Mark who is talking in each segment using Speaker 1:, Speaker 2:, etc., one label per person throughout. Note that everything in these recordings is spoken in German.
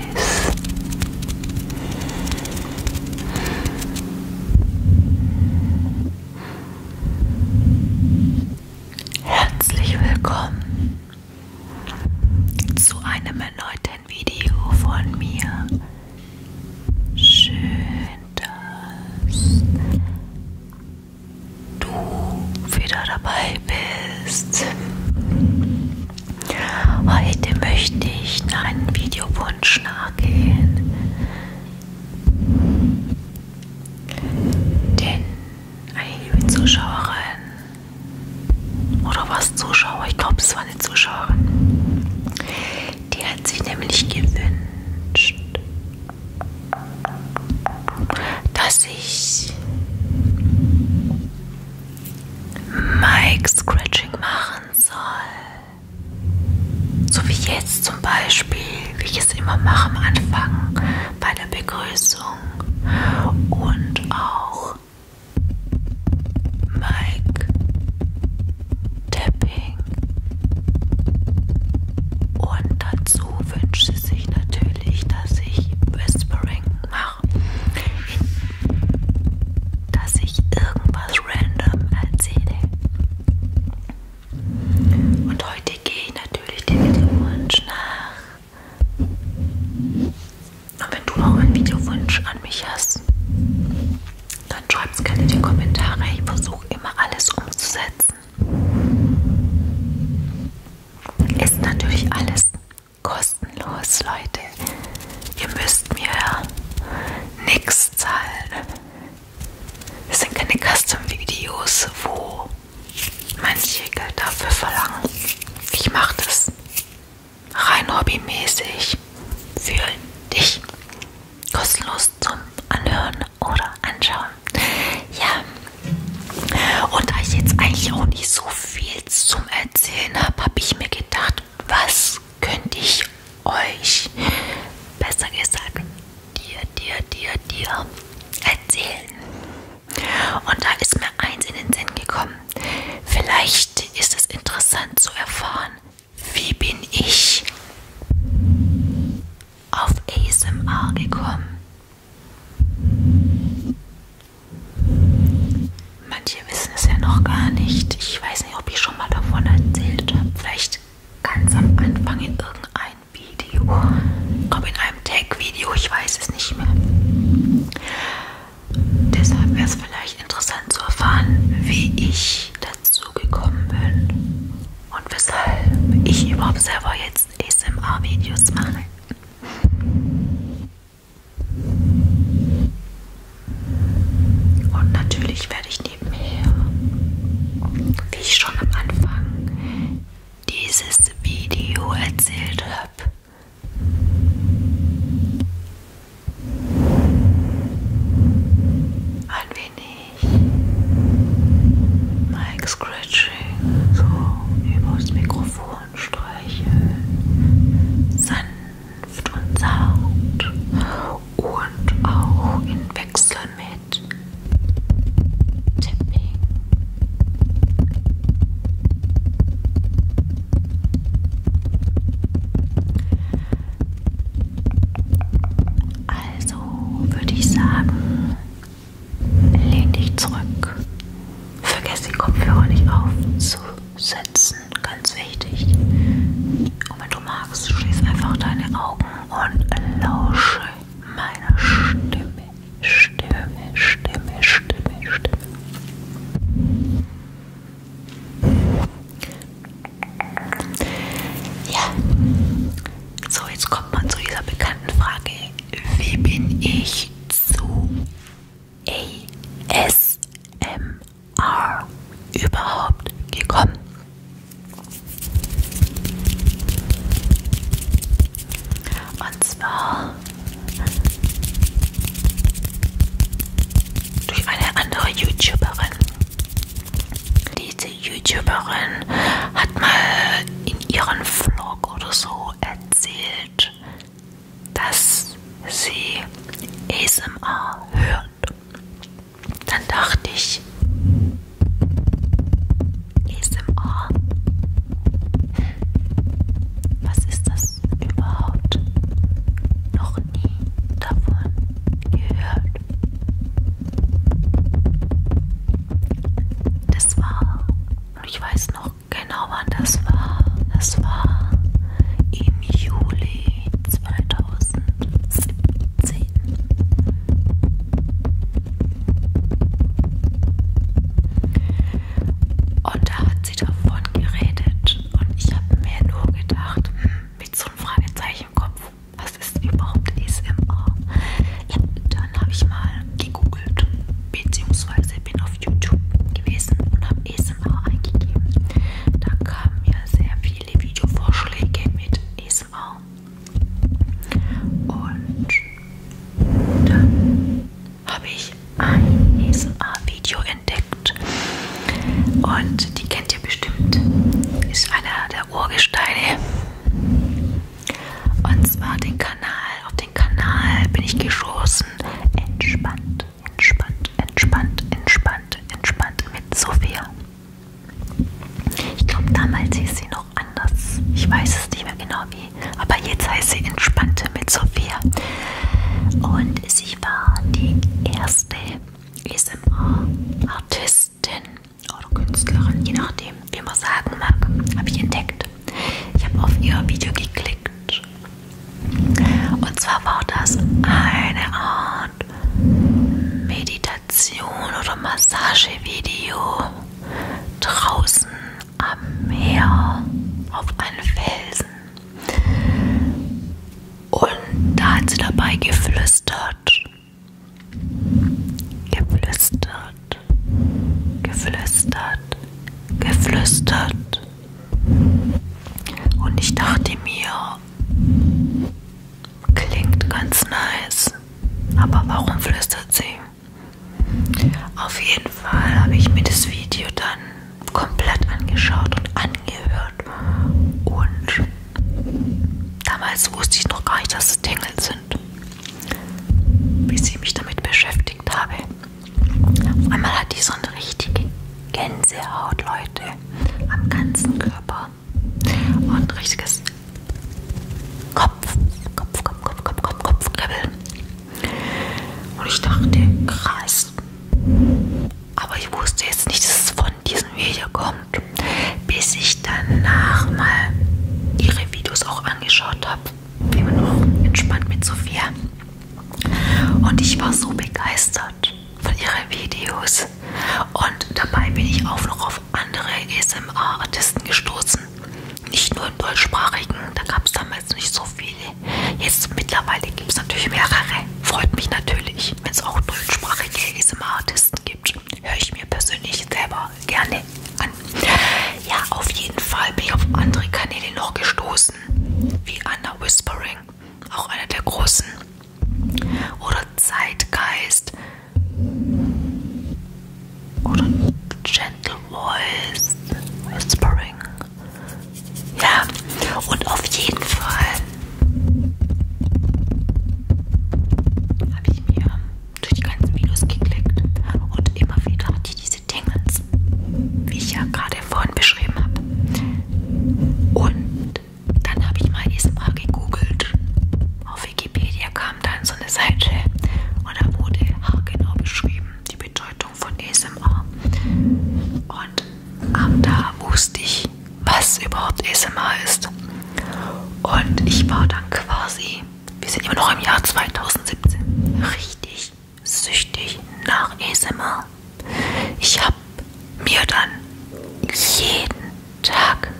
Speaker 1: weiß. Herzlich willkommen zu einem erneuten Video von mir. Schön, dass du wieder dabei bist. Heute möchte ich einen Videowunsch nachgehen, denn eine liebe Zuschauerin oder was Zuschauer, ich glaube es war eine Zuschauerin, die hat sich nämlich gewünscht, dass ich Mic Scratching machen soll. So wie jetzt zum Beispiel, wie ich es immer mache am Anfang bei der Begrüßung und auch Mike Tapping. Und dazu wünsche sich natürlich, dass ich Whispering mache dass ich irgendwas random erzähle. Und heute gehe ich natürlich den Videowunsch nach. Und wenn du auch einen Videowunsch an mich hast, dann schreib es gerne in die Kommentare. Ich versuche immer alles umzusetzen. Ist natürlich alles kostenlos, Leute. Leute, ihr müsst mir nichts zahlen. Es sind keine Custom-Videos, wo manche Geld dafür verlangen. Ich mache das rein hobbymäßig für dich. Kostenlos zum Anhören oder Anschauen. Ja. Und da ich jetzt eigentlich auch nicht so viel zum Erzählen habe, habe ich mir gedacht, was könnte ich euch, besser gesagt, dir, dir, dir, dir erzählen? Und da ist mir eins in den Sinn gekommen. Vielleicht ist es interessant zu erfahren, wie bin ich auf ASMR gekommen? Manche wissen es ja noch gar nicht. Ich weiß nicht, ob ich schon mal davon erzählt habe. Vielleicht ganz am Anfang in irgendeinem Video. Ich glaube in einem Tag-Video, ich weiß es nicht mehr. Deshalb wäre es vielleicht interessant zu erfahren, wie ich dazu gekommen bin und weshalb ich überhaupt selber jetzt ASMR-Videos mache. Und natürlich werde ich nebenher, wie ich schon am Anfang dieses Video erzählt habe, ein wenig Mike Scratching so übers Mikrofon streicheln, sanft Duft und Sound und auch in Wechsel mit Tipping. Also würde ich sagen, lehn dich zurück. Vergiss die Kopfhörer nicht aufzusetzen lassen. Ganz wichtig. Und wenn du magst, schließ einfach deine Augen und lausche meiner Stimme. Stimme, Stimme, Stimme, Stimme. Ja. So, jetzt kommt man zu dieser bekannten Frage. Wie bin ich zu ASMR überhaupt gekommen? Und zwar durch eine andere YouTuberin. Diese YouTuberin hat mal in ihrem Vlog oder so erzählt, dass sie ASMR hört. Dann dachte ich, ASMR, was ist das überhaupt? Noch nie davon gehört. Das war, und ich weiß noch genau wann das war, das war im Juli 2017. Und da hat sie davon geredet und ich habe mir nur gedacht, hm, mit so einem Fragezeichen im Kopf, was ist überhaupt ASMR? Ja, dann habe ich mal gegoogelt, beziehungsweise bin auf auf YouTube gewesen und habe ASMR eingegeben. Da kamen mir sehr viele Videovorschläge mit ASMR. Und dann habe ich ein ASMR-Video entdeckt. Und die kennt ihr bestimmt. Ist einer der Urgesteine. Und zwar den Kanal. Auf den Kanal bin ich gestoßen. Entspannt entspannt, entspannt, entspannt, entspannt mit Sophia. Ich glaube, damals hieß sie noch anders. Ich weiß es nicht mehr genau wie. Aber jetzt heißt sie entspannte mit Sophia. Und sie war die erste ASMR-Artistin oder Künstlerin, je nachdem, wie man sagen mag, habe ich entdeckt. Ich habe auf ihr Video geklickt und zwar war das eine Art Meditation oder Massagevideo draußen am Meer auf einem Felsen. Und da hat sie dabei geflüstert. Geflüstert. Geflüstert. Geflüstert. Und ich dachte mir, klingt ganz nice. Aber warum flüstert sie? Auf jeden Fall habe ich mir das Video dann komplett angeschaut und angehört. Und damals wusste ich noch gar nicht, dass es Tingel sind, bis ich mich damit beschäftigt habe. Auf einmal hatte ich so eine richtige Gänsehaut, Leute, am ganzen Körper und richtiges Kopf, Kopf, Kopf, Kopf, Kopf, Kopf, Kopfkribbeln. Und ich dachte, krass. Aber ich wusste jetzt nicht, dass es von diesem Video kommt, bis ich danach mal ihre Videos auch angeschaut habe, wie man auch entspannt mit Sophia. Und ich war so begeistert begeistert von ihren Videos und dabei bin ich auch noch auf andere ASMR-Artisten gestoßen. Nicht nur im deutschsprachigen, da gab es damals nicht so viele. Jetzt mittlerweile gibt es natürlich mehrere. Freut mich natürlich, wenn es auch deutschsprachige ASMR-Artisten gibt. Höre ich mir persönlich selber gerne an. Ja, auf jeden Fall bin ich auf andere Kanäle noch gestoßen, wie Anna Whispering auch einer der großen. Oder Zeitgeist. Oder Gentle Voice. Whispering. Ja, und auf jeden Fall habe ich mir durch die ganzen Videos geklickt und immer wieder hatte ich diese Dingens, wie ich ja gerade dir vorhin beschrieben habe. Und dann habe ich mal ASMR gegoogelt. Auf Wikipedia kam dann so eine Seite und da wurde haargenau beschrieben, die Bedeutung von ASMR. Und ab da wusste ich, was überhaupt ASMR ist. Und ich war dann quasi, wir sind immer noch im Jahr 2017, richtig süchtig nach ASMR. Ich habe mir dann jeden Tag,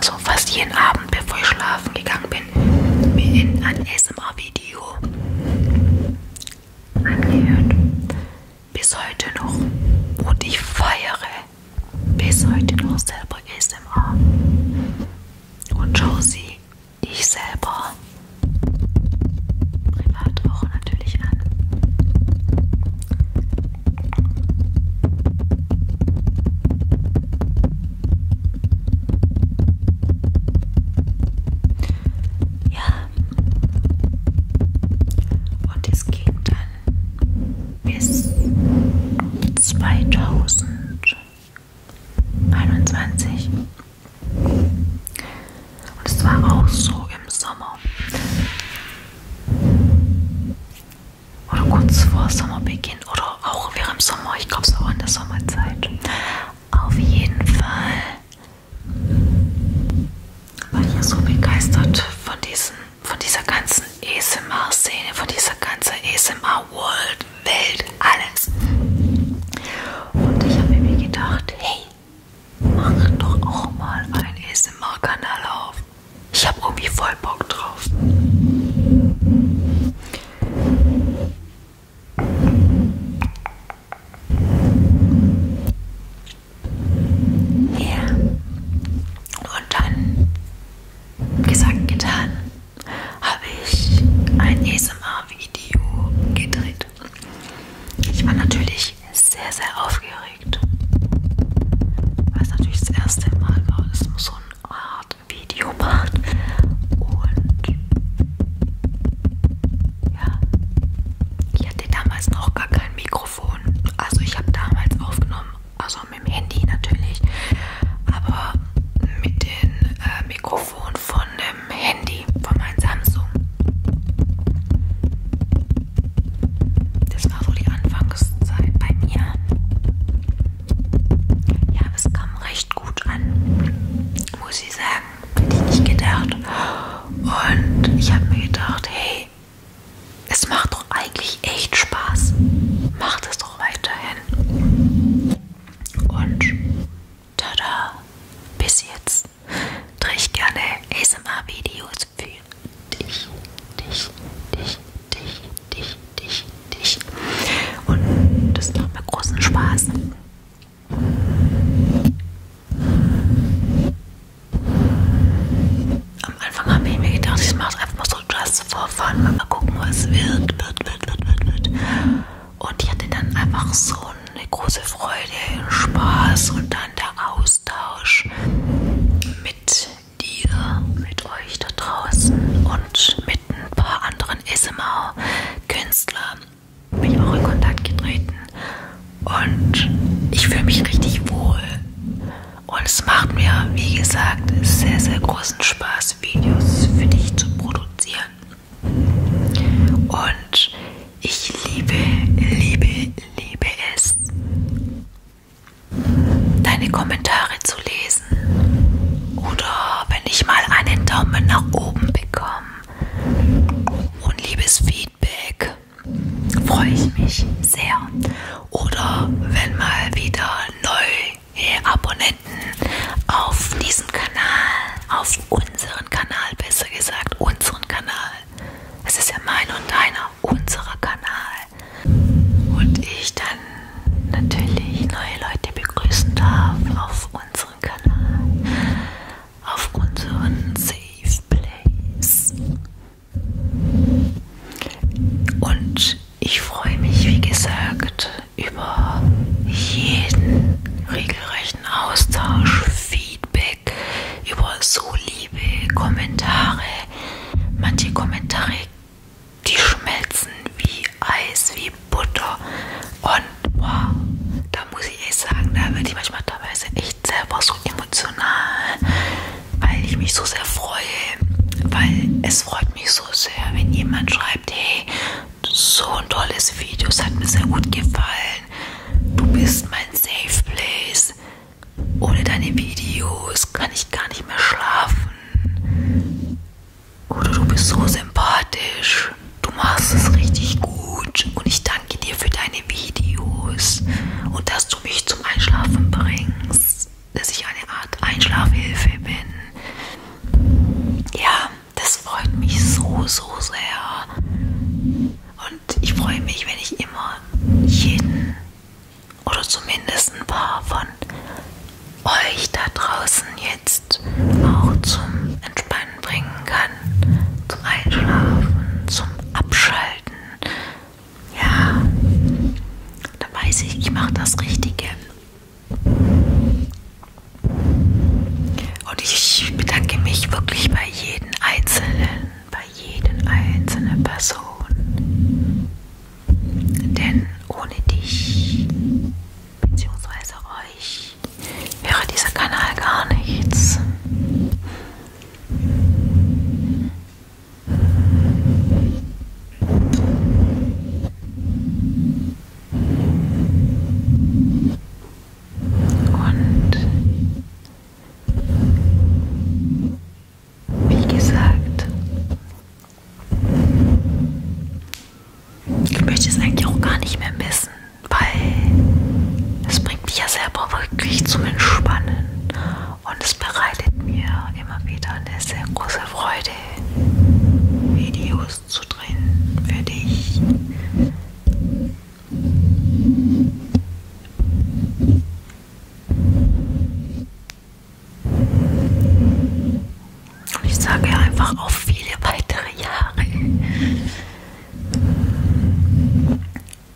Speaker 1: so also fast jeden Abend, bevor ich schlafen gegangen bin, mir in ein ASMR-Video angehört. Bis heute noch. Und ich feiere bis heute noch selber ASMR. Und schau sie, ich selber privat auch natürlich an. Ja, und es ging dann bis 2021. Und es war auch so im Sommer. Oder kurz vor Sommerbeginn oder auch während Sommer, ich glaube es auch in der Sommerzeit. Auf jeden Fall war ich ja so begeistert von, diesen, von dieser ganzen ASMR-Szene, von dieser ganzen ASMR-World, Welt, alles. Und ich habe mir gedacht, hey, mach doch auch mal einen ASMR-Kanal auf. Ich habe irgendwie voll Bock drauf. Ja. Yeah. Und dann, gesagt, getan, habe ich ein ASMR-Video gedreht. Ich war natürlich sehr, sehr aufgeregt. Weil es natürlich das erste Mal war, dass man so eine Art Video macht. Und ja, ich hatte damals noch gar kein Mikrofon. Also ich habe damals aufgenommen, also mit dem Handy natürlich, aber mit dem äh, Mikrofon von äh, ähm, Handy, von meinem Samsung. Das war so die Anfangszeit bei mir. Ja, es kam recht gut an, muss ich sagen. Hätte ich nicht gedacht. Und ich habe mir gedacht, hey, es macht doch eigentlich echt Spaß. Macht es doch weiterhin. Und Tada! Bis jetzt drehe ich gerne ASMR-Videos für dich, dich, dich, dich, dich, dich, dich. Und das macht mir großen Spaß. Am Anfang habe ich mir gedacht, ich mache es einfach mal so just for fun, mal gucken, was wird, wird, wird, wird, wird, wird. Und ich hatte dann einfach so eine große Freude, Spaß und dann der Austausch mit dir, mit euch da draußen und mit ein paar anderen SMR-Künstlern bin ich auch in Kontakt getreten und ich fühle mich richtig wohl. Und es macht mir, wie gesagt, sehr, sehr großen Spaß, Videos für dich zu produzieren. Und ich liebe, liebe, liebe es, deine Kommentare zu lesen. Oder wenn ich mal einen Daumen nach oben bekomme und liebes Feedback, freue ich mich sehr. Oder wenn mal wieder neue Abonnenten auf diesen Kanal, auf unseren Kanal besser gesagt, unseren Kanal es ist ja mein und deiner, unserer Kanal. Und ich dann natürlich neue Leute begrüßen darf auf unserem Kanal, auf unseren Safe Place. Und ich freue mich, wie gesagt, über jeden regelrechten Austausch. Viel Feedback, über so liebe Kommentare. Manche Kommentare, die schmelzen wie Eis, wie Butter. Und wow, da muss ich echt sagen, da werde ich manchmal teilweise echt selber so emotional, weil ich mich so sehr freue. Weil es freut mich so sehr, wenn jemand schreibt, hey, so ein tolles Video, es hat mir sehr gut gefallen Du bist mein Safe Place. Ohne deine Videos kann ich gar nicht mehr schlafen. Oder du bist so sympathisch. Du machst es richtig gut. Und ich danke dir für deine Videos. Und dass du mich zum Einschlafen bringst. Dass ich eine Art Einschlafhilfe bin. Ja, das freut mich so, so sehr. Und und ich freue mich, wenn ich immer jeden oder zumindest ein paar von euch da draußen jetzt auch zum Entspannen bringen kann, zum Einschlafen, zum Abschalten. Ja, da weiß ich, ich mache das Richtige. Und ich bedanke mich wirklich bei jedem Einzelnen, bei jedem einzelnen Person. Denn ohne dich bzw. euch wäre dieser Kanal gar nichts. Und wie gesagt, ich möchte es eigentlich auch gar nicht mehr missen, weil es bringt mich ja selber wirklich zum Entspannen und es bereitet mir immer wieder eine sehr große Freude, Videos zu drehen für dich. Und ich sage einfach auf viele weitere Jahre.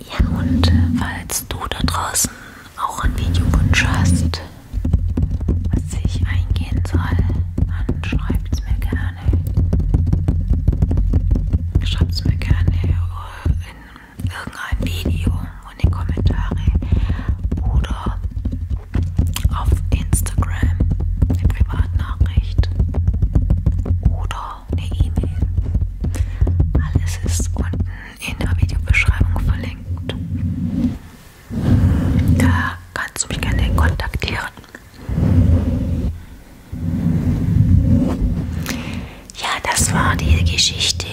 Speaker 1: Ja, und falls du da draußen auch einen Videowunsch hast, was ich eingehen soll, dann schreib es mir gerne gerne. Schreibt es mir gerne in irgendein Video und in die Kommentare oder auf Instagram eine Privatnachricht oder eine E-Mail. Alles ist unten in der Videobeschreibung verlinkt. Da kannst du mich gerne kontaktieren. Ja, das war die Geschichte,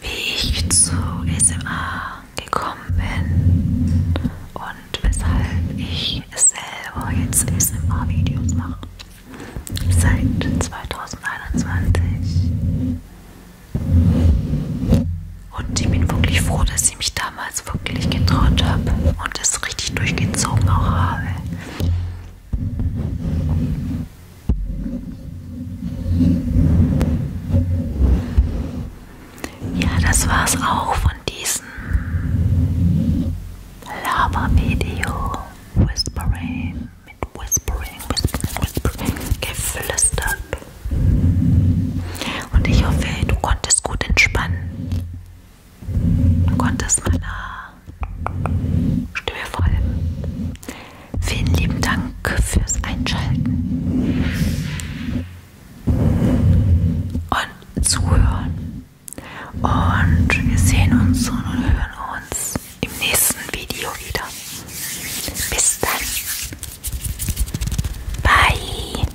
Speaker 1: wie ich zu SMA gekommen bin und weshalb ich selber jetzt SMA-Videos mache. Seit 2021. Und ich bin wirklich froh, dass ich mich damals wirklich getraut habe und es richtig durchgezogen auch habe. Ja, das war's auch von diesem Lava-Video. Whispering mit Whispering, Whispering, Whispering, geflüstert. Und ich hoffe, du konntest gut entspannen. Du konntest meiner Stimme folgen. Vielen lieben Dank fürs Einschalten und Zuhören. Und wir sehen uns und hören uns im nächsten Video wieder. Bis dann. Bye.